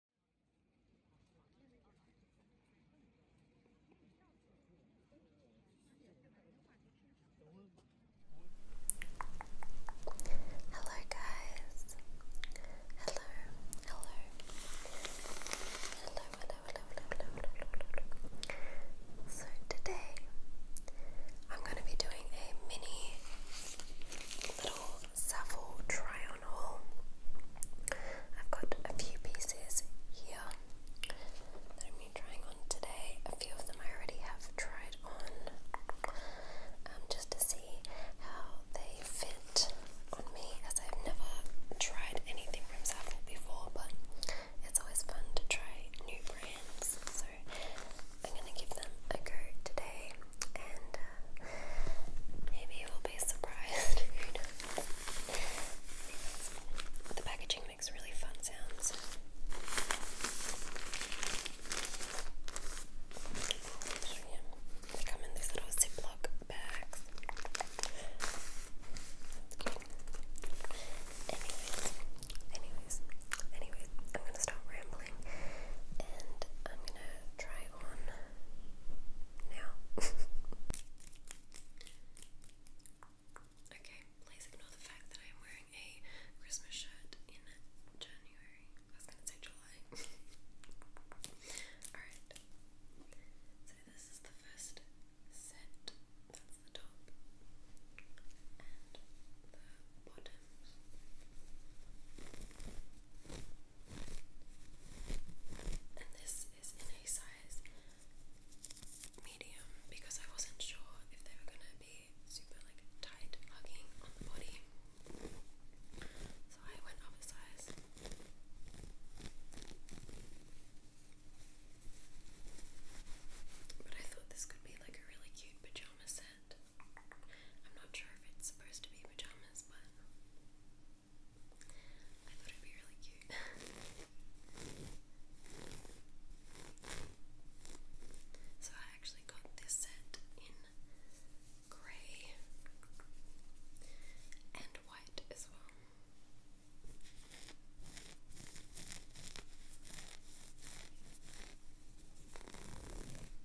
Hello, guys. Hello, hello, hello, hello, hello, hello, hello, So today I'm going to be doing a mini little Savile Tryon haul. I've got a few pieces here that I'm trying on today. A few of them I already have tried on um, just to see how they fit on me as I've never tried anything from Savile before but it's always fun to try new brands so I'm going to give them a go today and uh, maybe you will be surprised. Who The packaging makes really fun sounds. They come in these little Ziploc bags. Anyways, anyways, anyways, I'm gonna stop rambling and I'm gonna try on now. Okay, please ignore the fact that I'm wearing a Christmas shirt in January. I was gonna say July. Alright. So this is the first set. That's the top. And the bottoms. And this is in a size medium because I wasn't sure if they were gonna be super like tight hugging on the body. So I went up a size. But I thought this could be like a really cute pajama set. I'm not sure if it's supposed to be pajamas, but I thought it'd be really cute. so I actually got this set in grey and white as well.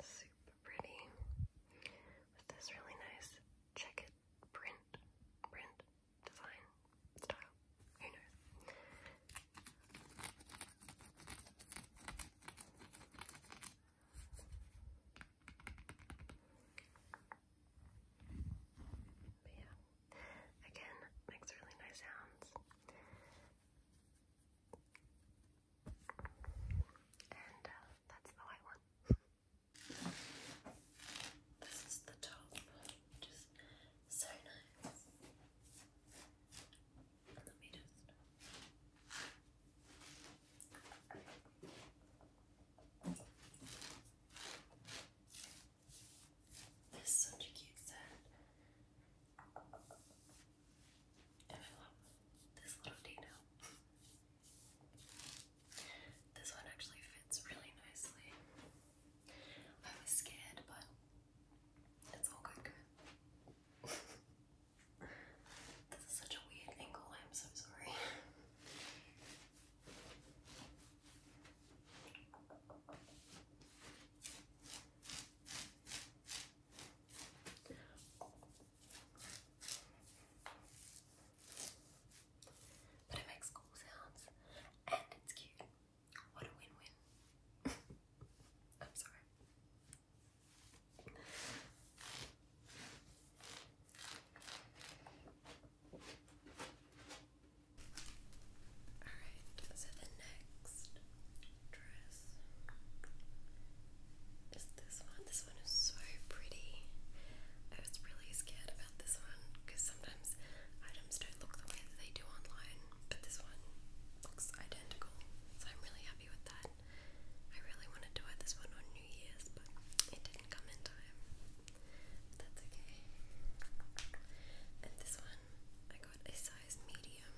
Super pretty. With this really nice checkered print, print, design, style. Who knows? But yeah, again, makes really nice sounds. And uh, that's the white one. This is the top, which so nice. Let me just. This is such a cute set. this little dino. this one actually fits really nicely. I was scared, but it's all good. this is such a weird angle, I'm so sorry. But it makes cool sounds and it's cute. What a win win. I'm sorry. Alright, so the next dress is this one. This one is so pretty. I was really scared about this one because sometimes items don't look the way that they do online, but this one looks identical. So I'm really happy with that. I really wanted to wear this one on New Year's, but it didn't come in time. But that's okay. And this one I got a size medium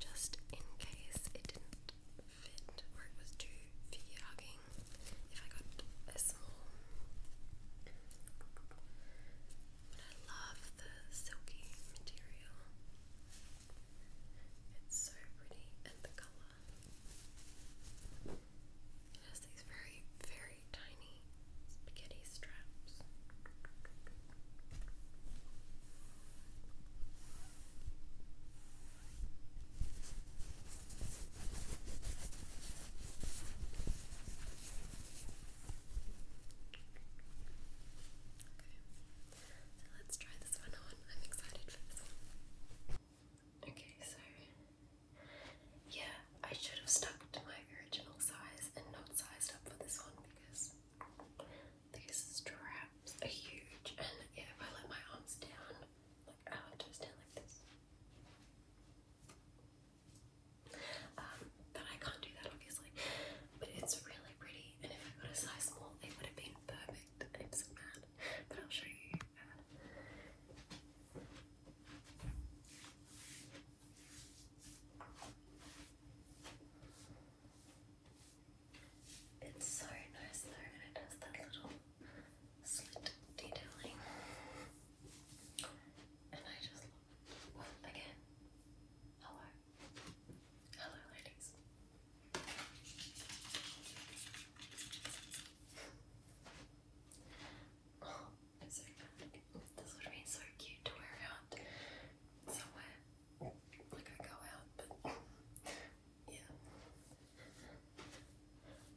just in case it didn't fit or it was too figure if I got a small. But I love the silky material. It's so pretty and the colour. It has these very, very very tiny spaghetti straps. Okay, let's try this one on. I'm excited for this Okay, so yeah, I should have stuck to my original size and not sized up for this one because these straps are huge and if I let my arms down, like I have to stand like this. Um, but I can't do that obviously. But it's really pretty and if I got a size small it would have been perfect. I'm so mad. But I'll show you. Uh, it's so nice though, and it has that little slit detailing. And I just love again. Hello. Hello, ladies. This would be so cute to wear out somewhere. Like I go out, but yeah.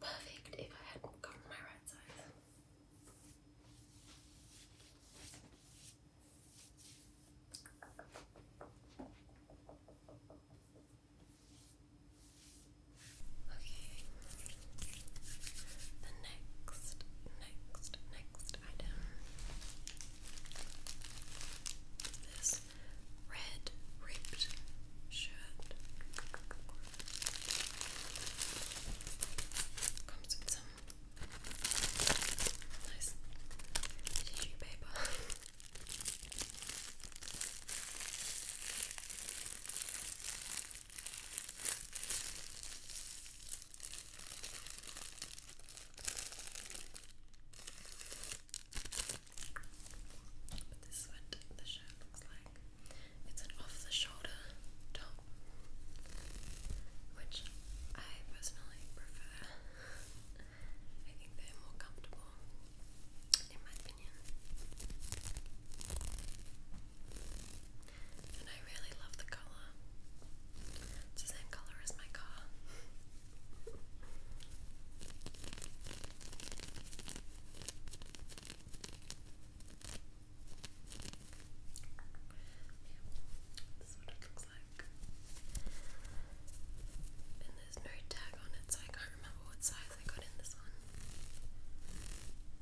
Perfect if I hadn't gotten my right size. Okay, the next, next, next item this red ripped shirt. Comes with some nice tissue paper. But this is what the shirt looks like. It's an off-the-shoulder top, which I personally prefer. I think they're more comfortable, in my opinion and I really love the color. It's the same color as my car. this is what it looks like. And there's no tag on it, so I can't remember what size I got in this one.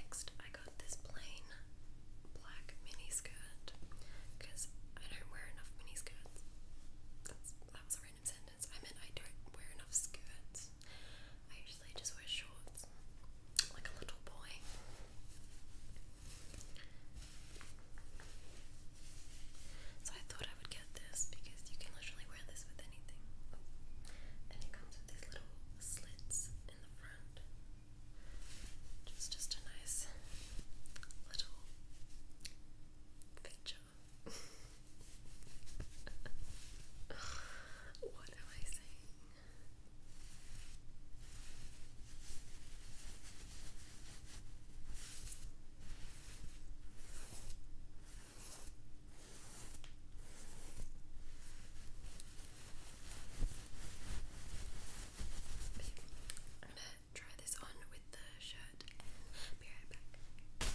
Next, I got this plain black mini skirt because I don't wear enough mini That's, that was a I meant I don't wear enough skirts. I usually just wear shorts, like a little boy. So I thought I would get this because you can literally wear this with anything. And it comes with these little slits in the front. Just just a nice little feature what am I saying? I'm gonna try this on with the shirt be right back.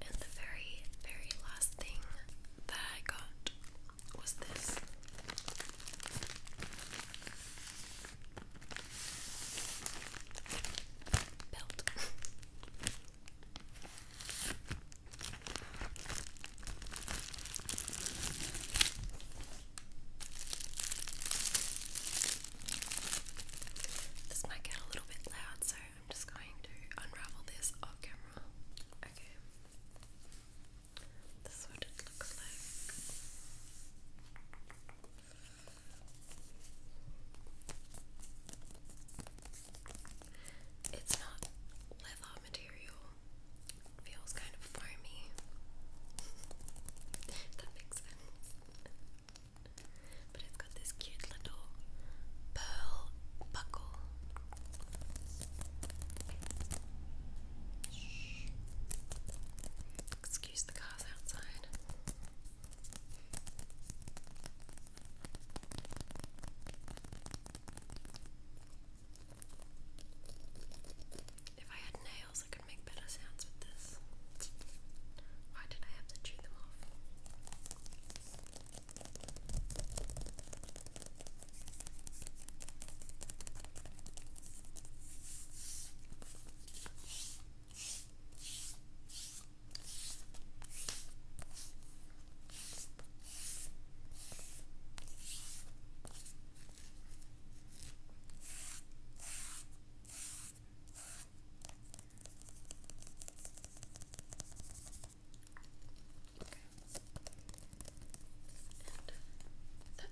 And the very, very last thing that I got was this belt. This might get a little bit loud, so I'm just going to unravel this off camera. Okay. This is what it looks like. It's not leather material. feels kind of foamy. that makes But it's got this cute little pearl buckle. Excuse the cars outside. If I had nails, I could make better sounds with this. Why did I have to chew them off? And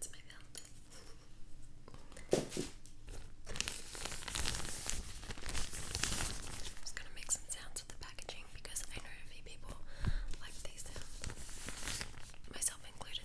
that's my belt. I'm gonna make some sounds with the packaging because I know a few people like these myself included.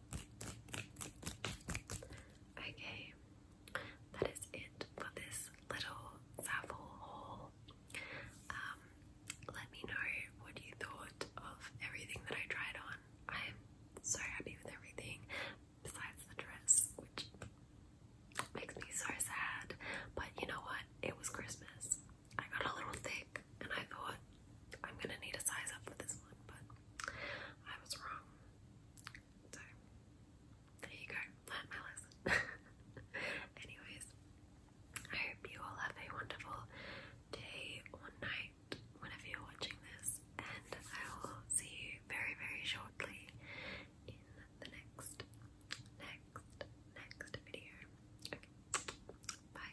Okay, that is it for this little raffle haul. Um, let me know what you thought of everything that I tried on. I'm so happy with everything, besides the dress, which makes me so sad. But you know what? It was Christmas. I got a little thick, and I thought I'm gonna need a size up for this one, but I was wrong. So there you go. Learn my lesson. Anyways, I hope you all have a wonderful day or night whenever you're watching this, and I will see you very, very shortly in the next, next, next video. Okay. Bye.